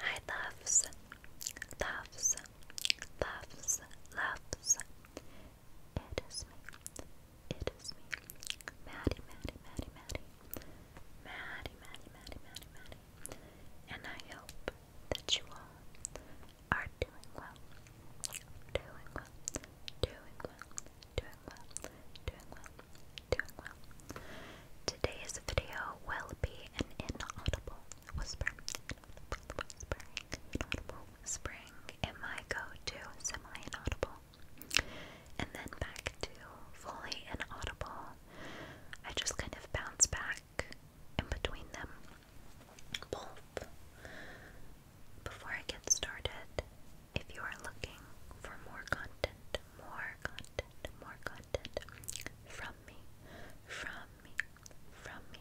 Hi loves, loves, loves, loves. It is me. It is me. Maddie, Maddie, Maddie, Maddie. Maddie, Maddie, Maddie, Maddie, Maddie. And I hope that you all are doing well. Doing well. Doing well. Doing well. Doing well. Doing well. Today's video will be an inaudible whisper. Inaudible whispering. Inaudible Am I go to semi inaudible? And then back to fully inaudible. I just kind of bounce back in between them both. Before I get started, if you are looking for more content more content, more content from me, from me, from me.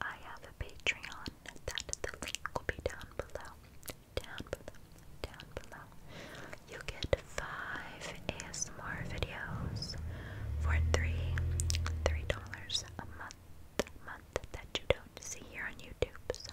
I have a Patreon that the link will be down below, down below, down below. You get five ASMR videos for three, three dollars a month, month that you don't see here on YouTube. So.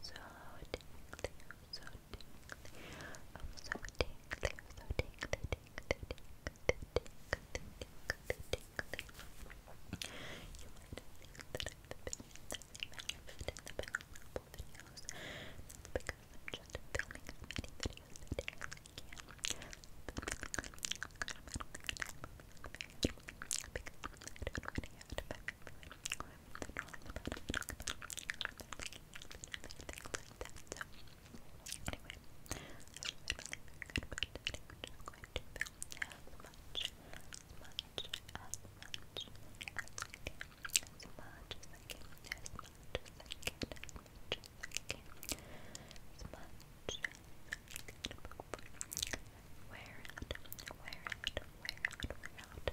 so tingly, so tingly, oh so tingly, so tingly, tingly, tingly, tingly, tingly, tingly. You might think that I've been manifesting the past couple videos. That's because I'm just filming as many videos a day as I can. Because I don't really have to back or it, drawing about it, talking about it, things like that. So, anyway, I really feel good about it. I think we're just going to film as much, as much, as much as I can, as much as I can, as much as I can, as much as I can, as much as I can. Wear out, wear out, wear out, wear out.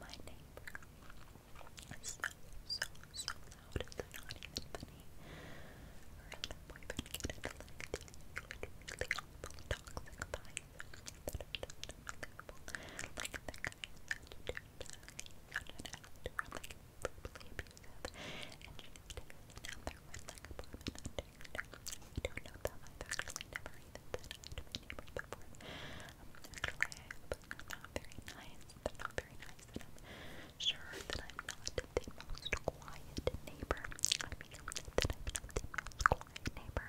My neighbor is so, so, so loud, not even funny. Her and her boyfriend get into like these really awful toxic vibes that are just unbelievable. Like the guy is such a dirtbag, such an actor, like verbally abusive, and she just takes his number with like a woman under I don't know them. I've actually never even been to actually, not very nice. They're not very nice, I'm sure that I'm not the most quiet neighbor. I mean, that I'm not the most quiet neighbor.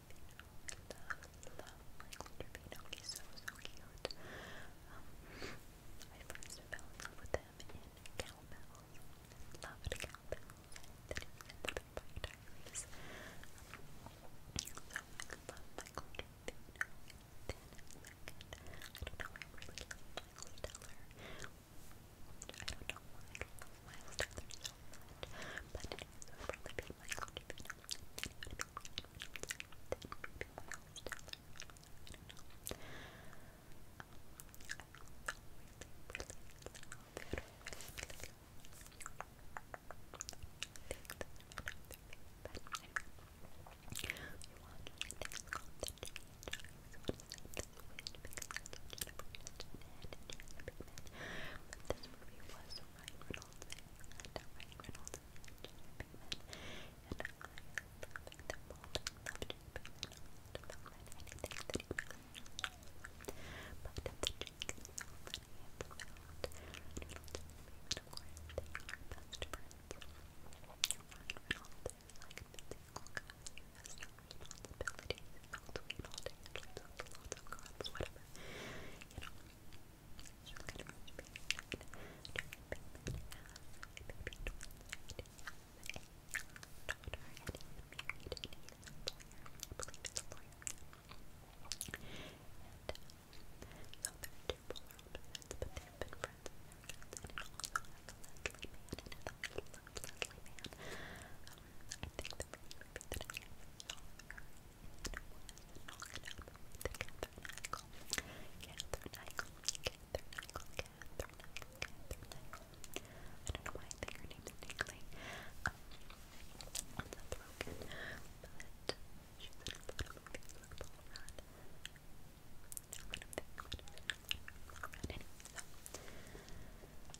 Love, love Michael Trevino. He's so, so cute. Um, I first fell in love with him in Cowbell. Loved Cowbell. Then he was in the Big Bang Diaries. Um, so I love Michael Trevino. Then second, I don't know, I really love Miles Teller. I don't know why so much. But it will probably be my favorite video. It would be my most I don't know. Um, I really, really love it. I really, really but this movie was Ryan Reynolds and Ryan Reynolds and Jennifer and I love them both. I love Jennifer Pinkman, I love them that he makes. But the chick is so funny and so out. Ryan Reynolds and Pinkman, of course, they are best friends. Ryan Reynolds has no responsibilities, felt weed all day, sleeps on the lots of crumbs, whatever. You know, she's kind of being pregnant. Jeremy Pittman has a baby twin. He has a daughter, and he's married, and he's a lawyer. I believe he's a lawyer. And so they're two polar opposites, but they've been friends and they're friends, and it also has a Leslie man in it. I love Leslie man. Um, I think the movie that I saw her in was Knockin' Up with Catherine Eichel. Catherine Eichel, Catherine Eichel, Catherine Eichel, Catherine Eichel. I don't know why I think her name is Nickley. Um, I'm not broken, but she's in a lot of movies with Paul Rudd. I'm gonna think about it. Anyway, so,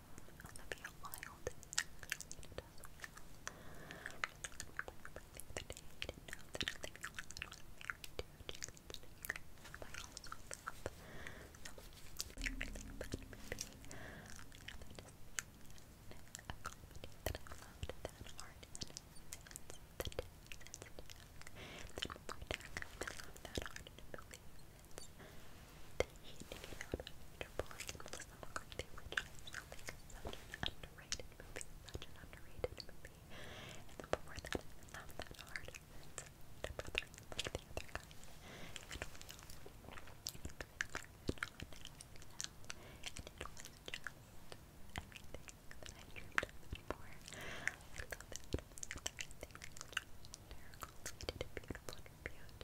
Olivia Wilde is actually in it as well. I think that he didn't know that Olivia Wilde was married to Jason Statham. I also love some really bad movies. I have to a comedy that I loved that aren't in since the day since the day. Then one more time, I love that aren't in movies since Handing It Out Andrew Pollock and Melissa McCarthy, which I feel like is such an underrated movie, such an underrated movie. And then before that, I Love That Hard, and The Brother, like the other guy, and we all, and we all, and on and on, and it was just everything that I dreamed of and more. I love it. Everything was just hysterical. They did a beautiful interview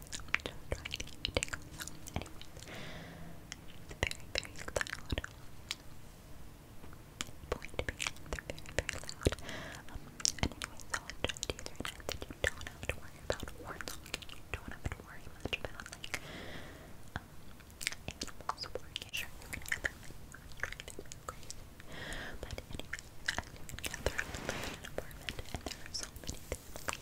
I'm just trying to keep tingles. Anyway, it's very, very loud. Point being, they're very, very loud. Um, and just you don't have to worry about horns. don't have to worry much about, like, But anyway, I live in an apartment, and there are so many things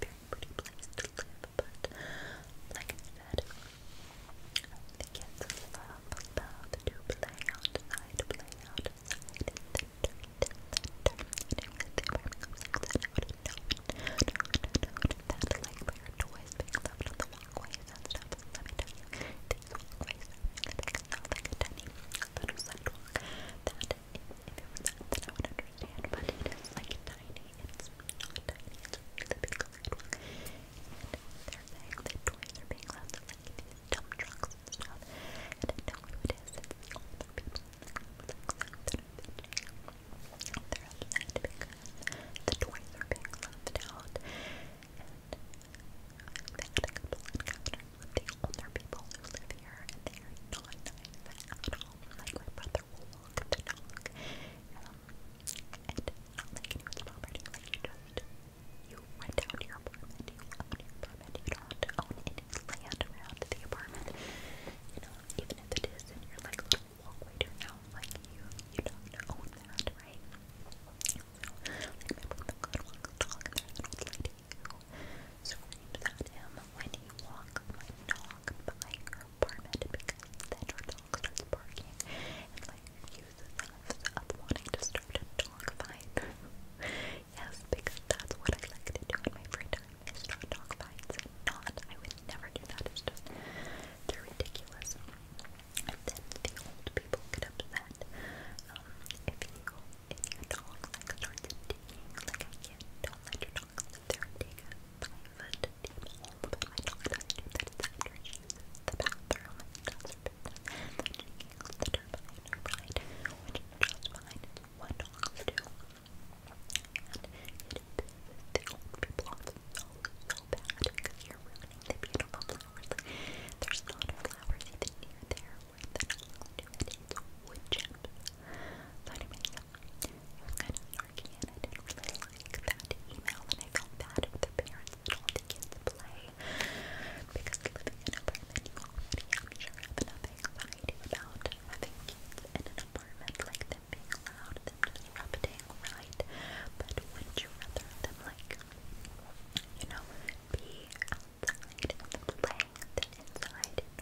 very pretty place to live, but like I said, the kids love, love to play outside, play outside in the dirt, in the dirt, they were upset out of nowhere, no, no, no, that's like their toys being left on the walkways and stuff, let me tell you, these walkways are really big, not like a tiny little sidewalk, that it, if it understand, but it is like tiny, it's not tiny, it's really big little. And they're saying that toys are being left like dump trucks and I know who it is, it's the older people the group that are bitching. are upset because the and the older people who live here, and they are not nice like my brother will walk the um, and um, like you just you rent out your apartment, you your apartment, you don't have around the apartment. You know, even if it is in your like little walkway to like you you don't own that, right? like my brother could walk the and there's an who screamed at him when he walked my dog by her apartment because then her dog starts barking and like accuses us wanting to start a dog fight. yes, because that's what I like to do in my free time is start dog fights. Not, I would never do that. It's just ridiculous. And then the old people get upset. Um, if you if your dog like starts digging like I can, don't let your dog sit there and dig a five foot deep hole. But my dog does do that. It's under his the bathroom. It does her business. The digging the dirt behind her right, which is just fine. It's what dogs do. And it the old people off so, so bad because you're ruining the beautiful flowers. Like, there's not flowers even near there where the dogs do it. It's wood chips so anyways, it was kind of snarky and I didn't really like that email and I felt bad for the parents that all the kids play because living in an apartment you already, I'm sure, have enough anxiety about having kids in an apartment, like them being loud, them just rubbing, right? But would you rather them like, you know, be outside and playing than inside?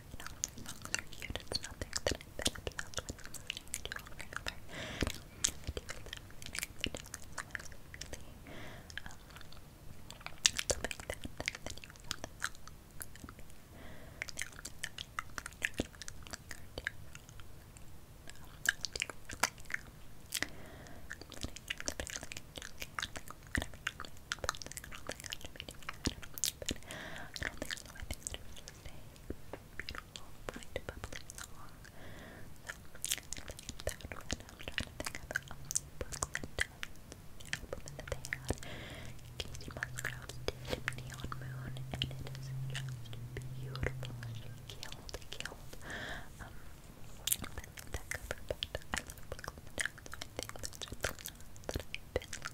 No, songs are cute. It's nothing that I've been obsessed with. I'm listening to all regular. So make that that you love the song. Now, but I don't think so. I think it a beautiful, bright, bubbly song. So I think that one. I'm trying to think of um, Brooklyn Dance, the album that they had. Casey Musgraves did Neon Moon, and it is just beautiful. She killed, killed. Um, that, that cover, but I love Brooklyn I think that's just the song that i